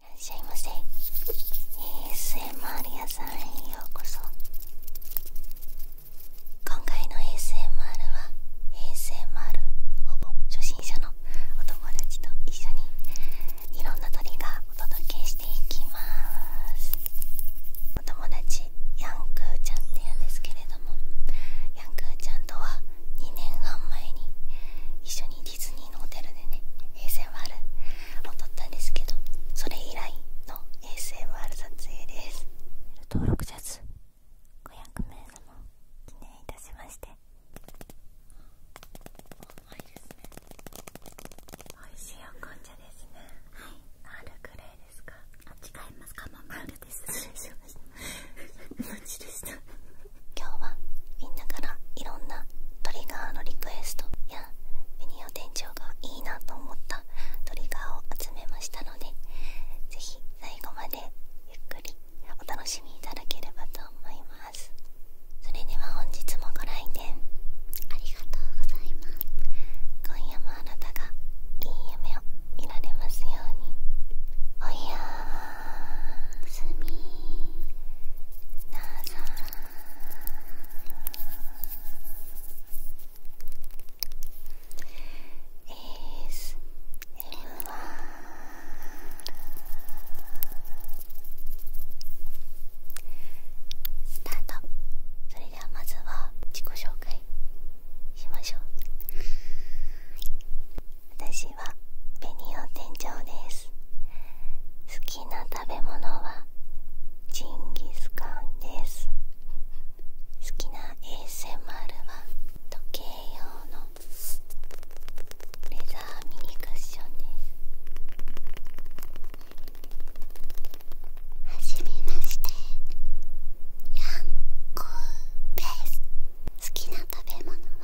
いらっしゃいませ ASMR 屋さんへようこそ今回の ASMR は ASMR ほぼ初心者のお友達と一緒にいろんな鳥がお届けしていきますお友達ヤンクーちゃんって言うんですけれどもヤンクーちゃんとは2年半前に一緒にディズニィのホテルでね ASMR を撮ったんですけどそれ以来の ASMR 撮影です登録者数500名様記念いたしまして美味しいお紅茶ですねはいアールグレですかあ違いますカマンですでした 今日はみんなからいろんなトリガーのリクエストやベニオ店長がいいなと思ったトリガーを集めましたのでぜひ最後までゆっくりお楽しみいただければと思いますそれでは本日もご来店ありがとうございます今夜もあなたがいい夢を見られますようにおやーすみなさい「ASMR」スタートそれではまずは自己紹介しましょう好きな食べ物はジンギスカンです好きな ASMR は時計用のレザーミニクッションですはじめましてヤンコーです好きな食べ物は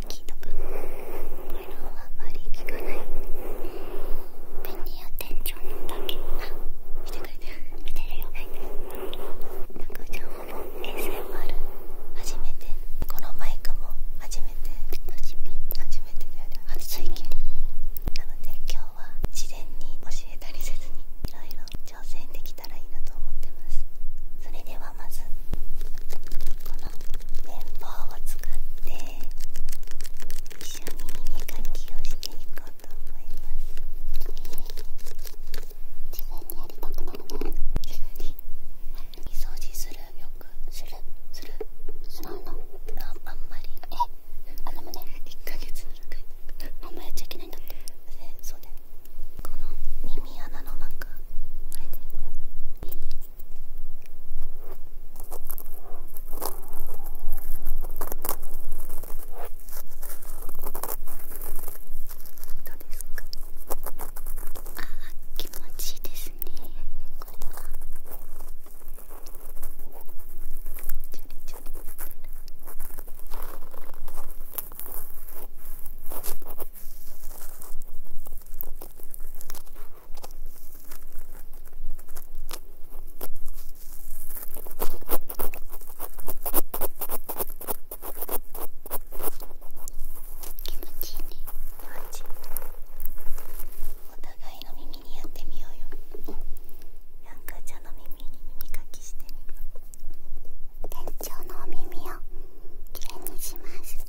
聞いとくこれはあまり聞かないペニア店長のだけ見てくれてる見てるよなんかじゃあほぼ ASMR 初めてこのマイクも初めて初めて初めてだよね初体験なので今日は自然に教えたりせずにいろいろ挑戦できたらいいなと思ってますそれではまずの綿棒を使って一緒に耳かきをしていこうと思います、えー、自にやりたくるね自分に掃除するするするするあんまりえあでも1ヶ月の中にあんまっちゃいけないんだってそうこの耳穴の中これでああ気持ちいいですねこれはチャリチャリ気持ちいいね気持ちいいお互いの耳にやってみようよヤんか、ーちゃんの耳に耳かきしてみる店長のお耳をきれいにします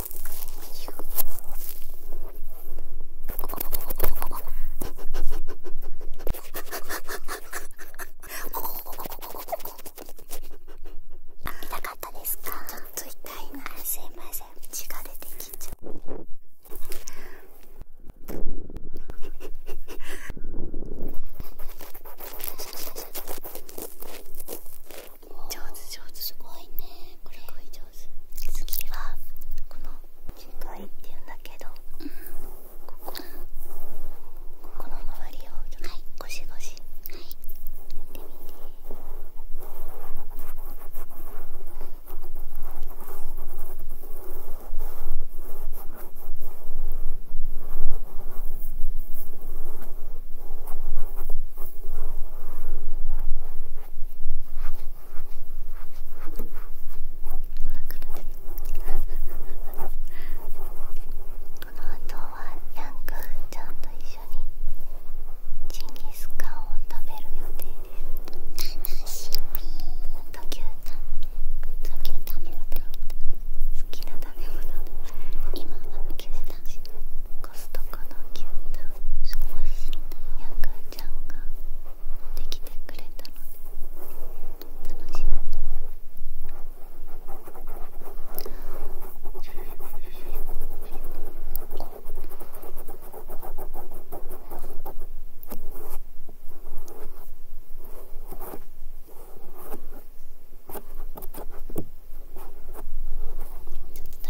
痛かったですか痛いなすいません血が出てきちゃう 上手上手すごいねこれすごい上手次はこの近いっていうんだけど、うん、こここの周りをちょっとゴシゴシはいやってみて。ここの後はヤンくんちゃんと一緒にチンギスカンを食べる予定です楽しみあと牛タンと牛タン食べた好きな食べ物今は牛タンコストン少しちゃんができてくれたので楽しみに。ち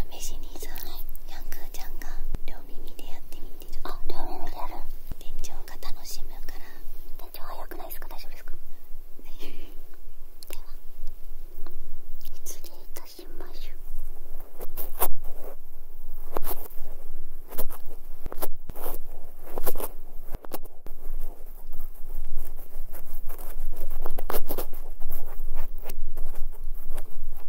ょっと試しにさヤングーちゃんが両耳でやってみてちょっとあ両耳でやる店長が楽しむから店長早くないですか大丈夫ですかでは失礼いたしましょうこ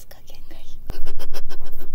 雑ス加減がいいね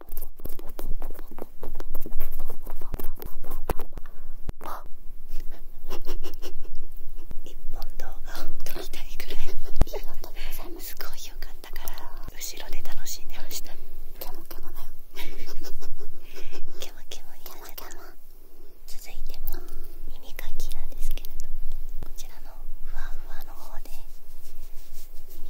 一本動画を撮りたいぐらいいい音でございますすごい良かったから後ろで楽しんでましたケモケモだよケモケモになっちゃった続いても耳かきなんですけれどこちらのふわふわの方で耳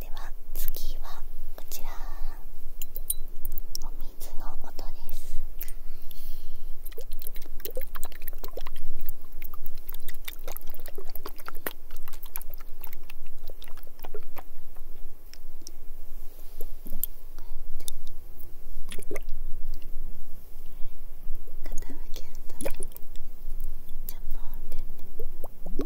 では次はこちらお水の音です傾けるとねジャポンって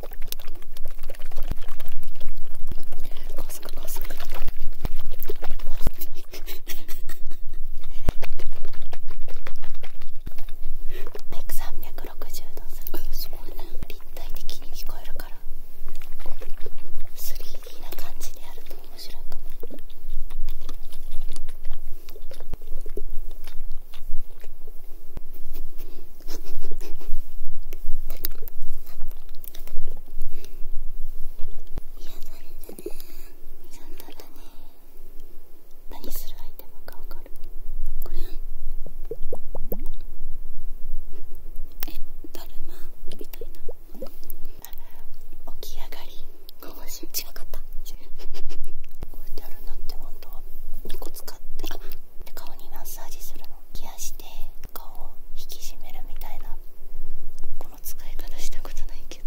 コスココスコ360度するすごいね立体的に聞こえるから 3D な感じでやると面白いかもれるね何するアイテムか分かるこれえだるまみたいな起き上がりこぼし違かった置いてあるのって本当は2個使ってあ顔にマッサージするのケアして顔を引き締めるみたいなこの使い方したことないけど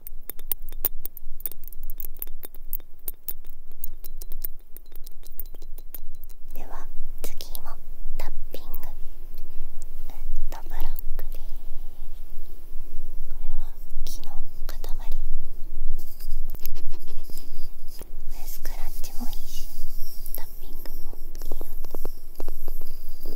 では次もタッピングウッドブロックですこれは木の塊スクラッチもいいしタッピングもいいので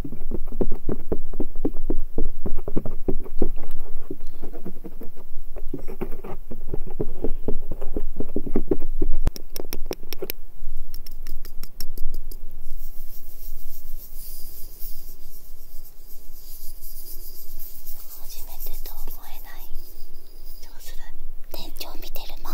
初めてと思えない上手だね天井見てるもん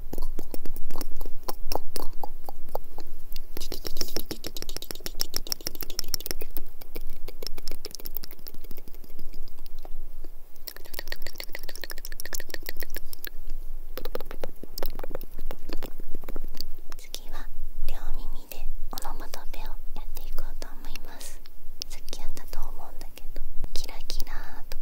次は両耳でオノマトペをやっていこうと思いますさっきやったと思うんだけどキラキラとか。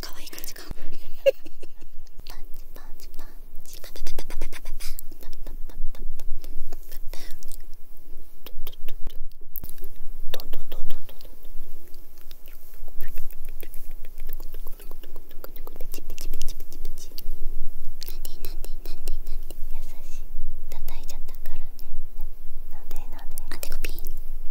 可愛い感じか。パンチパンチパンチパンパパパパパパパどんどんどんどんどんどんペチペチペチペチペチなんでなんでなんでなんで優しい叩いちゃったからねなんでなんであてこピン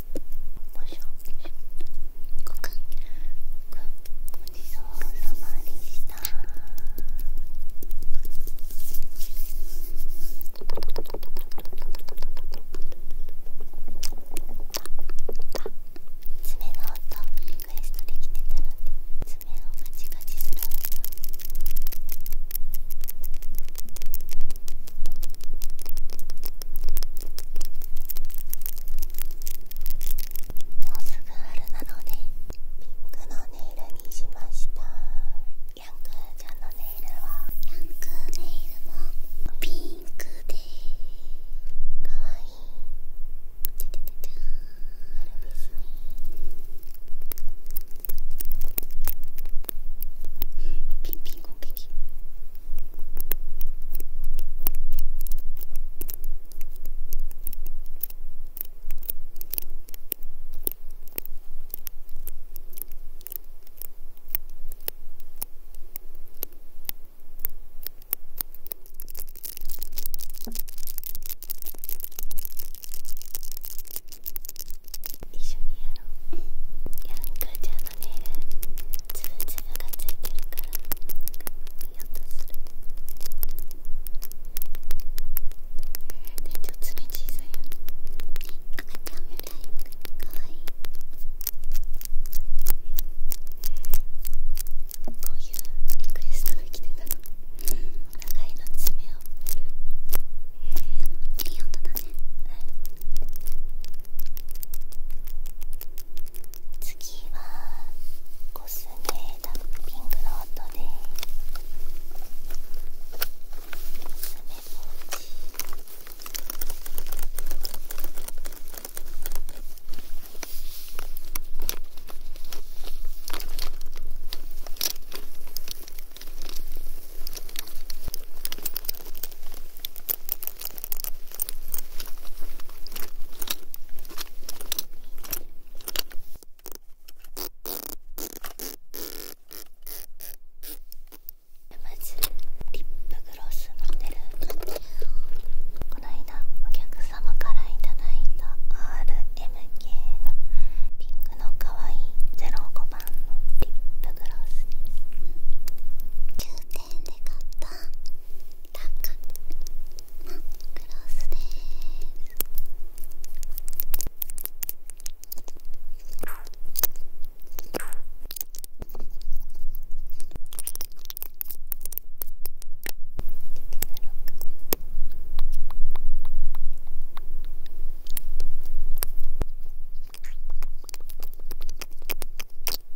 しょごくんごくんごちそうさまでした爪の音リクエストできてたので爪をガチガチする音もうすぐ春なのでピンクのネイルにしましたヤンクーちゃんのネイルはヤンクーネイルもピンクでかわいいちゃちゃちゃちですねピンピンコケキ一緒にやろうヤンカちゃんつぶつぶがついてるからいい音する店長爪小さいよね赤ちゃんみたいかわいいこういうリクエストが来てたのお互いの爪をいい音だね。次はコスメダッピングロの音でコスメポーチこリップグロス持ってこの間お客様からいただいた RMK のリンクのかわいい05番のリップグロスです店で買ったタッカのクロスです。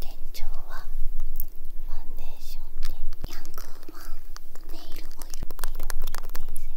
天井はファンデーションでヤングマンネイルオイルネイルオイルです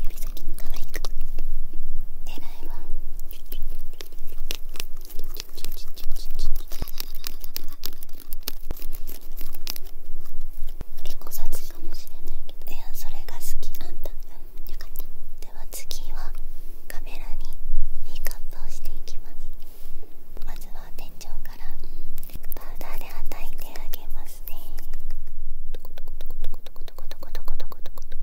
指先も可愛く狙いは結構雑かもしれないけどいやそれが好きあんたでは次はカメラにピックをしていきますまずは天井からパウダーではたてあげますねトコトコトコトコトコトコトコトコトコトコ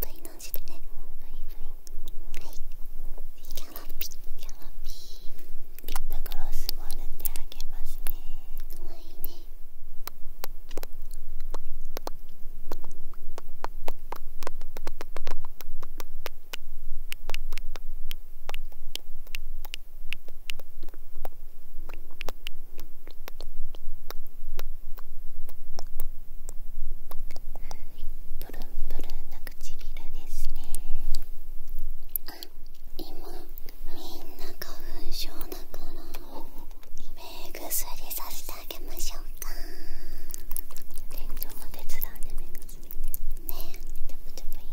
撮り直しでねはいキャラピキャラピリップグロスも塗ってあげますね可愛いねプルンプルンな唇ですね今みんな花粉症だから目薬させてあげましょうか店長の手伝うね目薬ねちょぶちょぶいい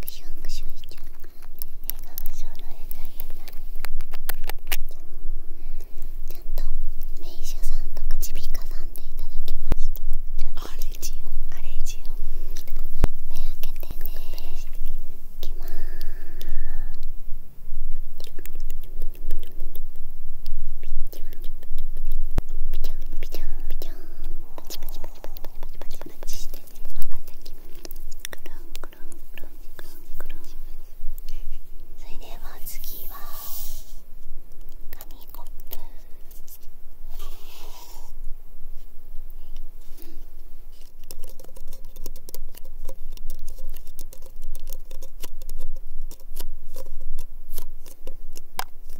クションクションしちゃう笑顔そろえないちゃんと名医者さんとか耳鼻科さんでいただきましたあれじオあれじオ目開けてねいきます。いきますそれでは次は紙コップ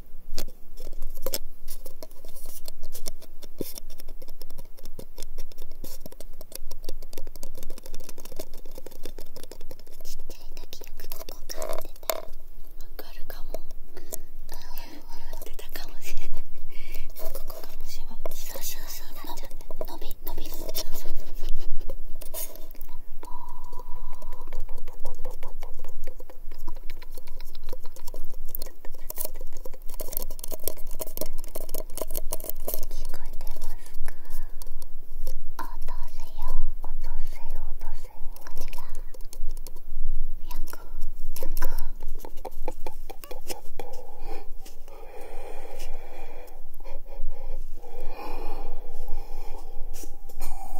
ちっちゃい時よくここ買ってたわかるかも笑ってたかもしれないここかもしれないそうそうそうなっちゃう伸び伸びるそうそうそう聞こえてますか落とせよ落とせよ落とせよが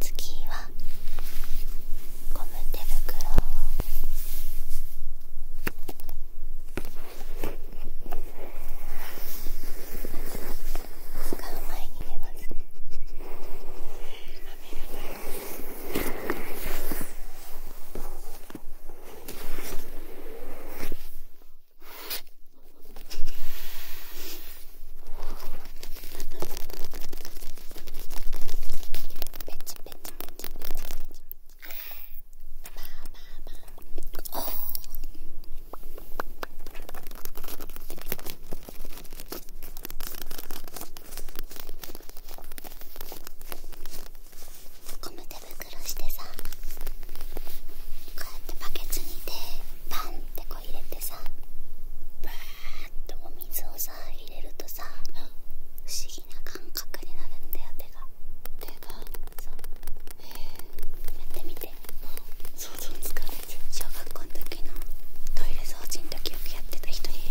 次はゴム手袋使う前に寝ますペチペチペチペチペチペチゴム手袋してさこうやってバケツに手パンってこう入れてさバーッとお水をさ入れるとさ不思議な感覚になるんだよ手が手がさえー、やってみて想像つかないじゃん小学校の時のトイレ掃除の時よくやってた人に、えー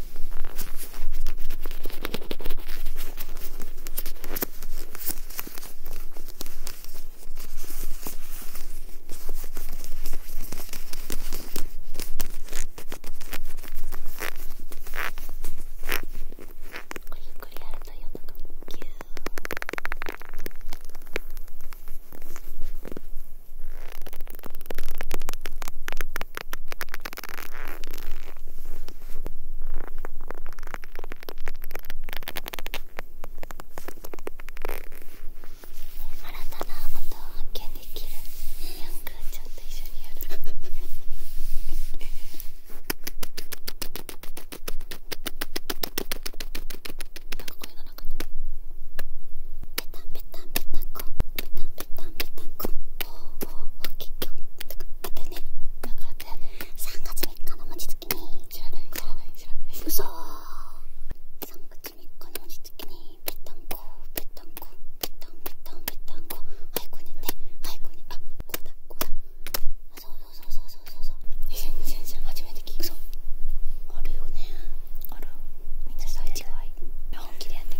ゆっくりやるといい音がギュたな音を発見できるヤングちゃんと一緒にやるなんか声うのなかったペタンペタンペタンコペタンペタンペタンコおーおーお結局だってねだからって3月3日の文字付きに知らない知らない知らない嘘ー3月3日の文字付きにペタンコペタンコペタンペタンペタンコはいこねてはいこねあこうだこうだあそうそうそうそうそうそう先生初めて聞くそうあるよねあるみんなそういう違い本気でやって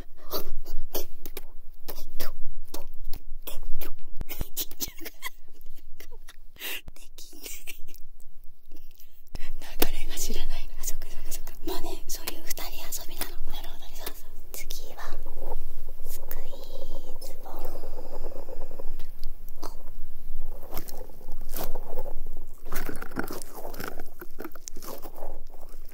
流れが知らないのそっかそっかそっかまあねそういう2人遊びなのなるほどねさあさあ、次はスクイズボーンん。こ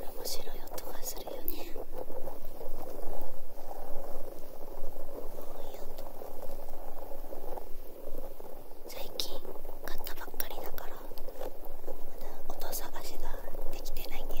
れ面白い音がするよねい音。最近買ったばっかりだからまだ音探しができてないんだよね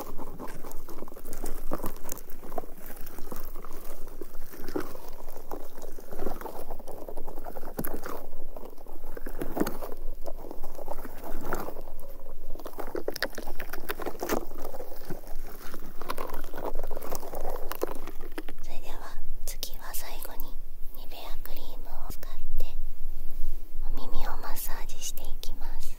それでは次は最後にニベアクリームを使ってお耳をマッサージしていきます。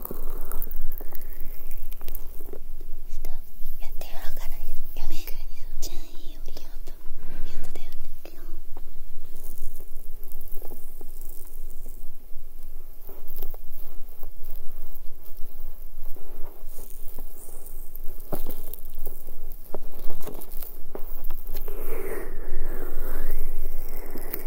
やってやろうかなやめっちゃいい音いい音いい音だよね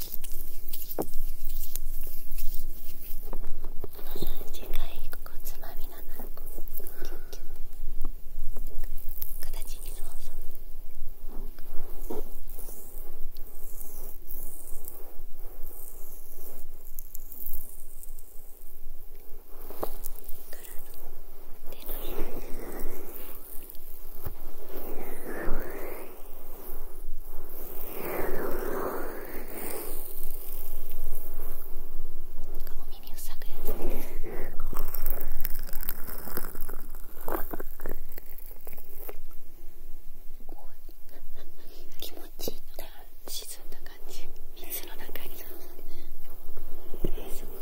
短いここつまみながら形にそうお耳塞ぐやつ気持ちいいか、沈んだ感じ水の中にそうすごい。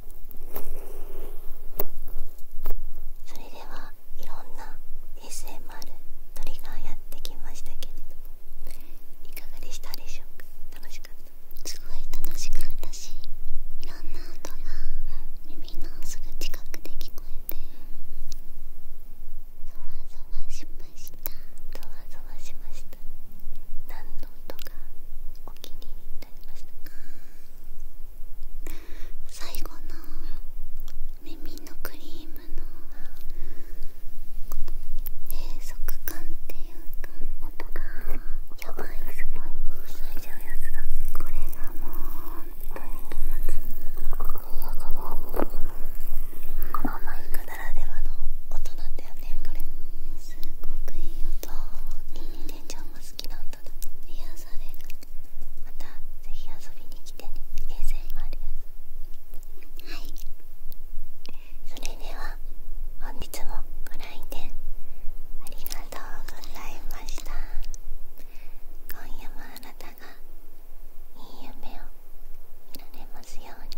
それではいろんな SMR トリガーやってきましたけれどもいかがでしたでしょうか楽しかったすごい楽しかったしいろんな音が耳のすぐ近くで聞こえてそわそわしましたそわそわしました何の音かお気に入り最後の耳のクリームの閉塞感っていうか音がやばいすごい塞いちゃうやつだこれがもう本当に気持ちいいこのこのいイクならではの音なんだよねこれすごくいい音耳でちゃんも好きな音だ癒されるまたぜひ遊びに来てね ASMR ですはいそれでは本日もご来店ありがとうございました今夜もあなたがいい夢を見られますように